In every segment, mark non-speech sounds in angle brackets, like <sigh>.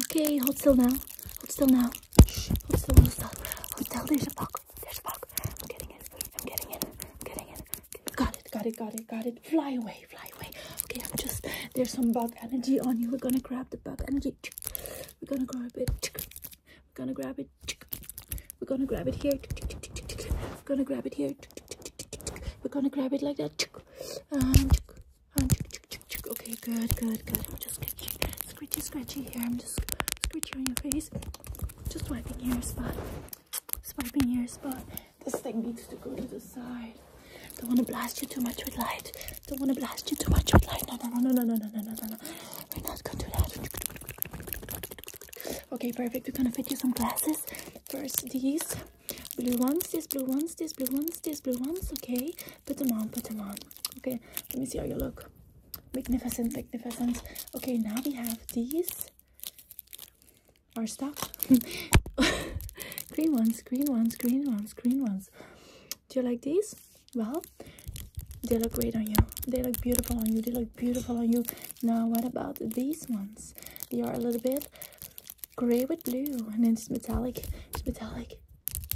Okay, hold still now. Hold still now. hold still, hold still. Hold still, there's a bug. There's a bug. I'm getting it. I'm getting it. I'm getting it. Got it, got it, got it, got it. Fly away, fly away. Okay, I'm just, there's some bug energy on you. We're gonna grab the bug energy. We're gonna grab it. We're gonna grab it. We're gonna grab it here. We're gonna grab it here. We're gonna grab it like that. And, and, um, um, okay, good, good, good. I'm just scratchy, scratchy here. I'm just scratchy on your face. Just wiping your spot. Swiping your spot. This thing needs to go to the side. Don't want to blast you too much with light. Don't want to blast you too much with light. No, no, no, no, no, no, no, no, no, no. We're not going to do that. Okay, perfect. We're going to fit you some glasses. First, these. Blue ones, this blue ones, this blue ones, this blue ones. Okay, put them on, put them on. Okay, let me see how you look. Magnificent, magnificent. Okay, now we have these. Our stuff. <laughs> green ones, green ones, green ones, green ones. Do you like these? Well, they look great on you. They look beautiful on you. They look beautiful on you. Now, what about these ones? They are a little bit gray with blue and it's metallic it's metallic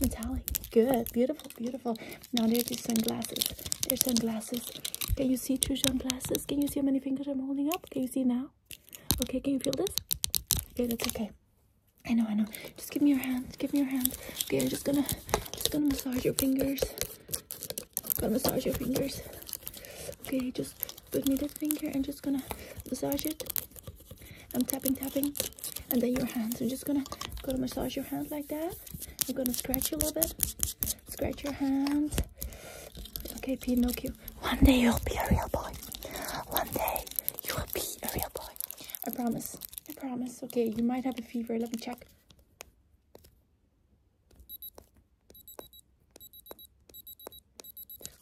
metallic good beautiful beautiful now there's these sunglasses there's sunglasses can you see two sunglasses can you see how many fingers i'm holding up can you see now okay can you feel this okay that's okay i know i know just give me your hand give me your hand okay i'm just gonna just gonna massage your fingers gonna massage your fingers okay just with needed finger I'm just gonna massage it i'm tapping tapping and then your hands i'm just gonna go to massage your hand like that i'm gonna scratch a little bit scratch your hand okay pinocchio one day you'll be a real boy one day you will be a real boy i promise i promise okay you might have a fever let me check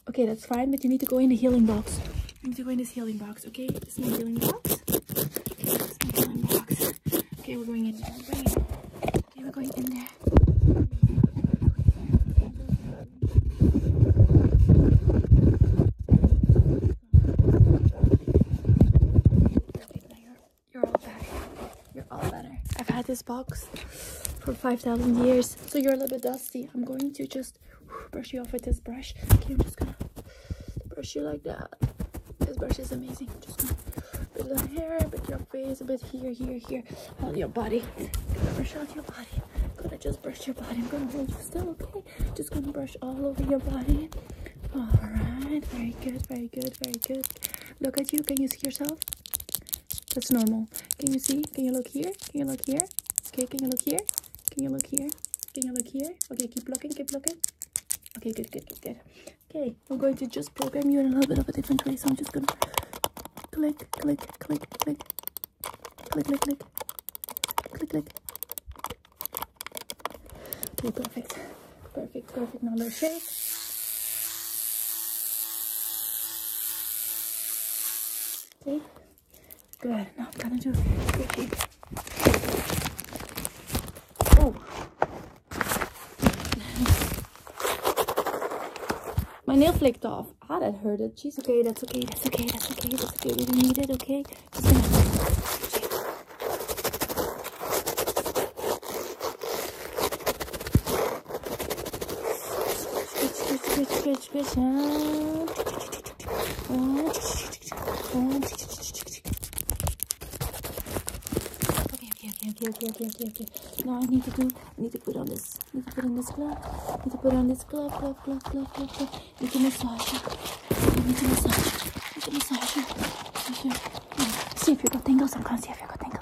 Okay, that's fine, but you need to go in the healing box. You need to go in this healing box, okay? This is my healing box. Okay, this healing box. Okay, we're going in there. Okay, we're going in there. You're all better. You're all better. I've had this box for 5,000 years. So you're a little bit dusty. I'm going to just brush you off with this brush. Okay, I'm just gonna brush you like that. This brush is amazing. Just gonna bit on hair, a bit your face, a bit here, here, here. Hold your body. Gonna brush out your body. Gonna just brush your body. I'm gonna hold you still, okay? Just gonna brush all over your body. Alright, very good, very good, very good. Look at you. Can you see yourself? That's normal. Can you see? Can you look here? Can you look here? Okay, can you look here? Can you look here? Can you look here? Okay, keep looking, keep looking. Okay, good, good, good, good. Okay, I'm going to just program you in a little bit of a different way. So I'm just going to click, click, click, click, click, click, click, click, click. Okay, perfect. Perfect, perfect. Now let's shake. See? Good. Now I'm gonna do squishy. Oh. <laughs> My nail flaked off. Ah, that hurted. Jeez. Okay, that's okay. That's okay. That's okay. That's okay. We don't need it. Okay. Just gonna. Geç geç geç geç geç. Ha. Okay, okay, okay, okay, okay, okay, okay, okay. Now I need to do, need to put on this, need to put on this glove, need to put on this glove, glove, glove, glove, glove, glove. Need to massage it, need to massage it, need to massage it. See if you got tingles, I'm gonna see if you got tingles.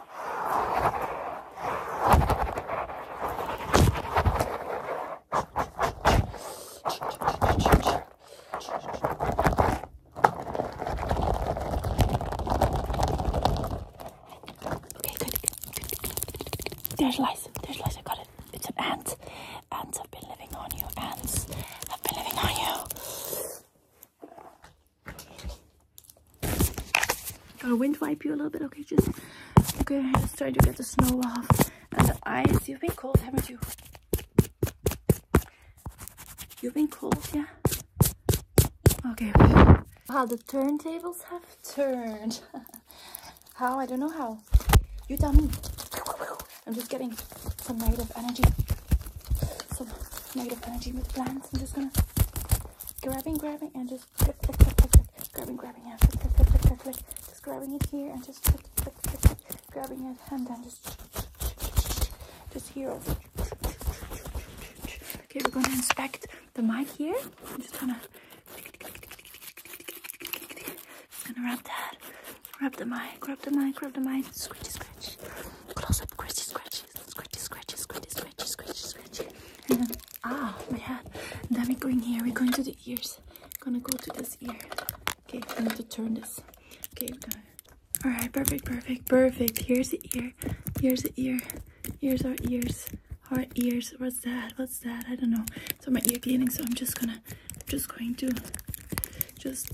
Okay, good. There's lice. There's lice. I got it. It's an ant. Ants have been living on you. Ants have been living on you. Gonna wind wipe you a little bit, okay? Just okay, just trying to get the snow off and the ice. You've been cold, haven't you? You've been cold, yeah? Okay. How the turntables have turned. <laughs> how? I don't know how. You tell me. I'm just getting some negative energy. Some negative energy with plants. I'm just gonna Grabbing, grabbing, and just grab, click, click, click, click. Grabbing, grabbing, and click, click, click, click, click, click. Just grab, it here and just grab, click, click, click. Grabbing it and then just, just here. Over. Okay, we're gonna inspect the mic here. I'm just gonna, just gonna wrap that. Grab the mic, grab the mic, grab the mic. Scratchy, scratch. Close up, scratchy, scratch scratchy, scratchy, scratchy, scratchy, scratchy, scratchy, scratchy. And <laughs> then, ah, oh, my head. And then we're going here, we're going to the ears. Gonna go to this ear. Okay, I need to turn this. Okay, we're gonna. Alright, perfect, perfect, perfect. Here's the ear. Here's the ear. Here's our ears. Our ears. What's that? What's that? I don't know. So my ear cleaning, so I'm just gonna I'm just going to just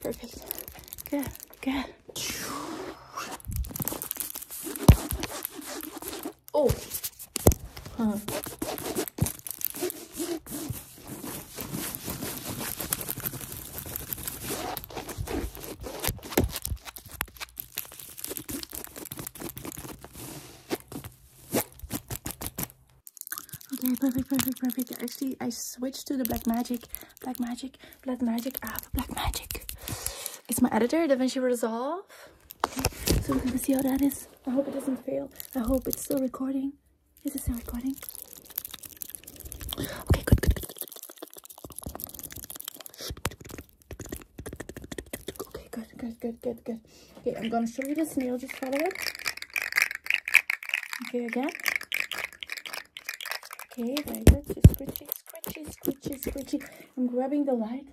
Perfect. Good, good. Oh. Huh. Okay, perfect, perfect, perfect. Actually, I switched to the Black Magic, Black Magic, Black Magic app, Black Magic. It's my editor, DaVinci Resolve. Okay, so we're gonna see how that is. I hope it doesn't fail. I hope it's still recording. Is it still recording? Okay, good, good, good. good, good, Okay, I'm gonna show you the snail. Just follow it. Okay, again. Okay, very good. Scratchy, scratchy, scratchy, scratchy. I'm grabbing the light.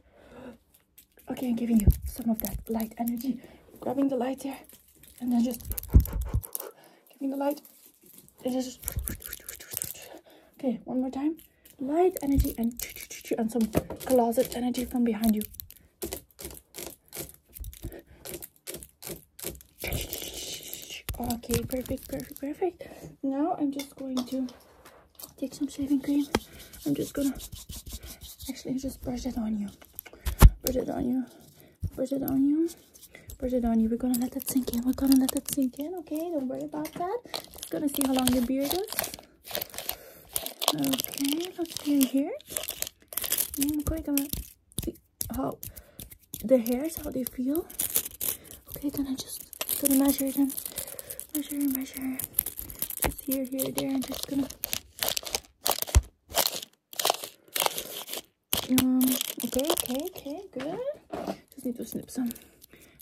Okay, I'm giving you some of that light energy. Grabbing the light here, and then just giving the light. It is. Okay, one more time. Light energy and and some closet energy from behind you. Okay, perfect, perfect, perfect. Now I'm just going to take some shaving cream. I'm just gonna actually just brush it on you. Brush it on you. Brush it on you. Brush it on you. We're gonna let that sink in. We're gonna let that sink in, okay? Don't worry about that. Just gonna see how long your beard is. Okay, let's see here. i going to Oh, the hairs how they feel okay then i just gonna measure them measure measure just here here there and just gonna um okay okay okay good just need to snip some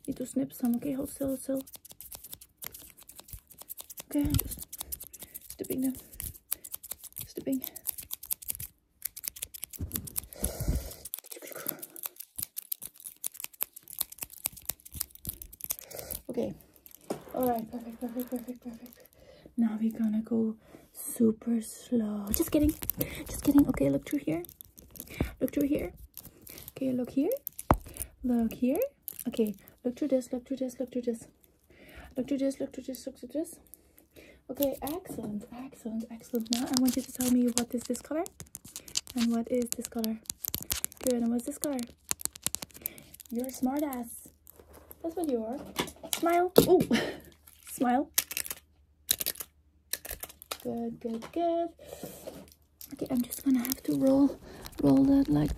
need to snip some okay hold still still okay i'm just snipping them snipping. Okay. All right, perfect, perfect, perfect, perfect. Now we're gonna go super slow. Just kidding, just kidding. Okay, look through here. Look through here. Okay, look here. Look here. Okay, look through this, look through this, look through this. Look to this, look to this, look to this. Okay, excellent, excellent, excellent. Now I want you to tell me what is this color and what is this color. Good, and what's this color? You're a smart ass. That's what you are. Smile. Oh, <laughs> smile. Good, good, good. Okay, I'm just gonna have to roll, roll that like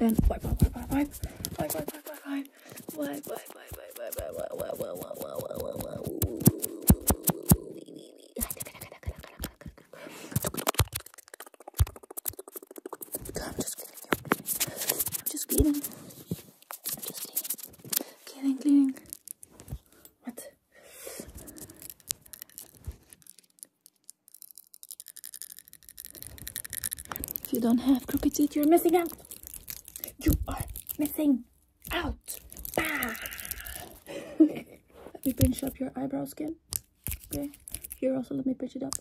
and wipe, wipe, wipe, wipe, wipe, wipe, wipe, wipe, wipe, wipe, wipe, wipe, wipe, wipe, wipe, I'm just cleaning. I'm just cleaning. I'm just cleaning. Cleaning, cleaning. What? If you don't have crooked teeth, you're missing out. You are missing out. Ah. <laughs> let me pinch up your eyebrow skin. Okay. Here also, let me pinch it up.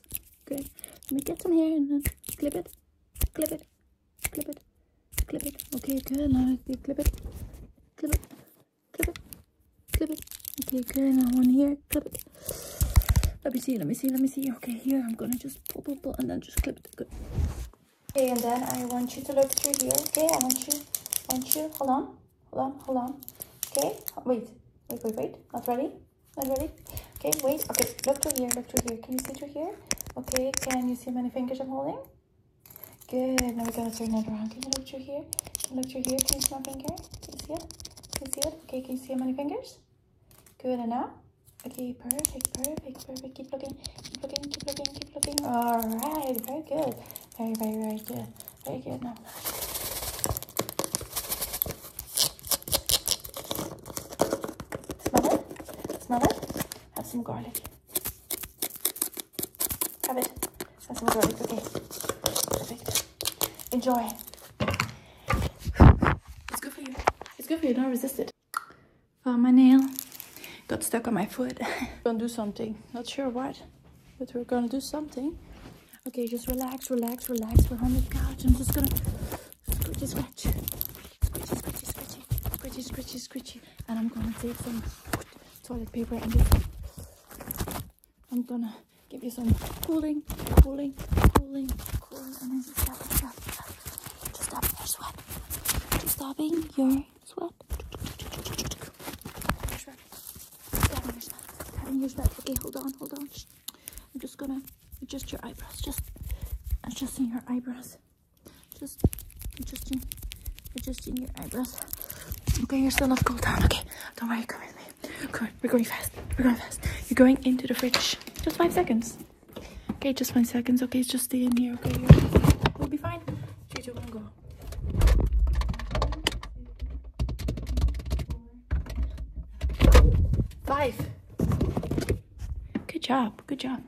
Okay. Let me get some hair and then clip it. Clip it. Clip it. Clip it. Okay, good. Now clip it. Clip it. Clip it. Clip it. Okay, good. Now one here. Clip it. Let me see, let me see, let me see. Okay, here I'm gonna just pull, pull, and then just clip it. Good. Okay, and then I want you to look through here. Okay, I want you, want you. Hold on, hold on, hold on. Okay, wait, wait, wait, wait. Not ready, not ready. Okay, wait. Okay, look through here, look through here. Can you see through here? Okay, can you see how many fingers I'm holding? Good. Now we got to turn it around. Can you look through here? Can you look through here? Can you see my finger? Can you see it? Can you see it? Okay, can you see how many fingers? Good. enough. Okay, perfect, perfect, perfect. Keep looking, keep looking, keep looking, keep looking. All right, very good. Very, very, very good. Very good. Now. Smell it? Smell it? Have some garlic. Have it. Have some garlic. Okay. Perfect. Enjoy. It's good for you. It's good for you. Don't resist it. Found my nail. Got stuck on my foot. <laughs> gonna do something. Not sure what, but we're gonna do something. Okay, just relax, relax, relax. We're on the couch. I'm just gonna scratchy, scratch. Scratchy, scratchy, scratchy. Scratchy, scratchy, scratchy. And I'm gonna take some toilet paper and I'm gonna give you some cooling, cooling, cooling, cooling. Just stop your sweat. Just stop your sweat. Just stopping your sweat. Stopping your sweat. Stopping your sweat. Okay, hold on, hold on. I'm just gonna adjust your eyebrows. Just adjusting your eyebrows. Just adjusting adjusting your eyebrows. Okay, you're still not cold down. Okay, don't worry, come with me. Come on, we're going fast. We're going fast. You're going into the fridge. Just five seconds. Okay, just five seconds. Okay, just stay in here. Okay, we'll be fine. Three, two, one, go. Five. Good job. Good job.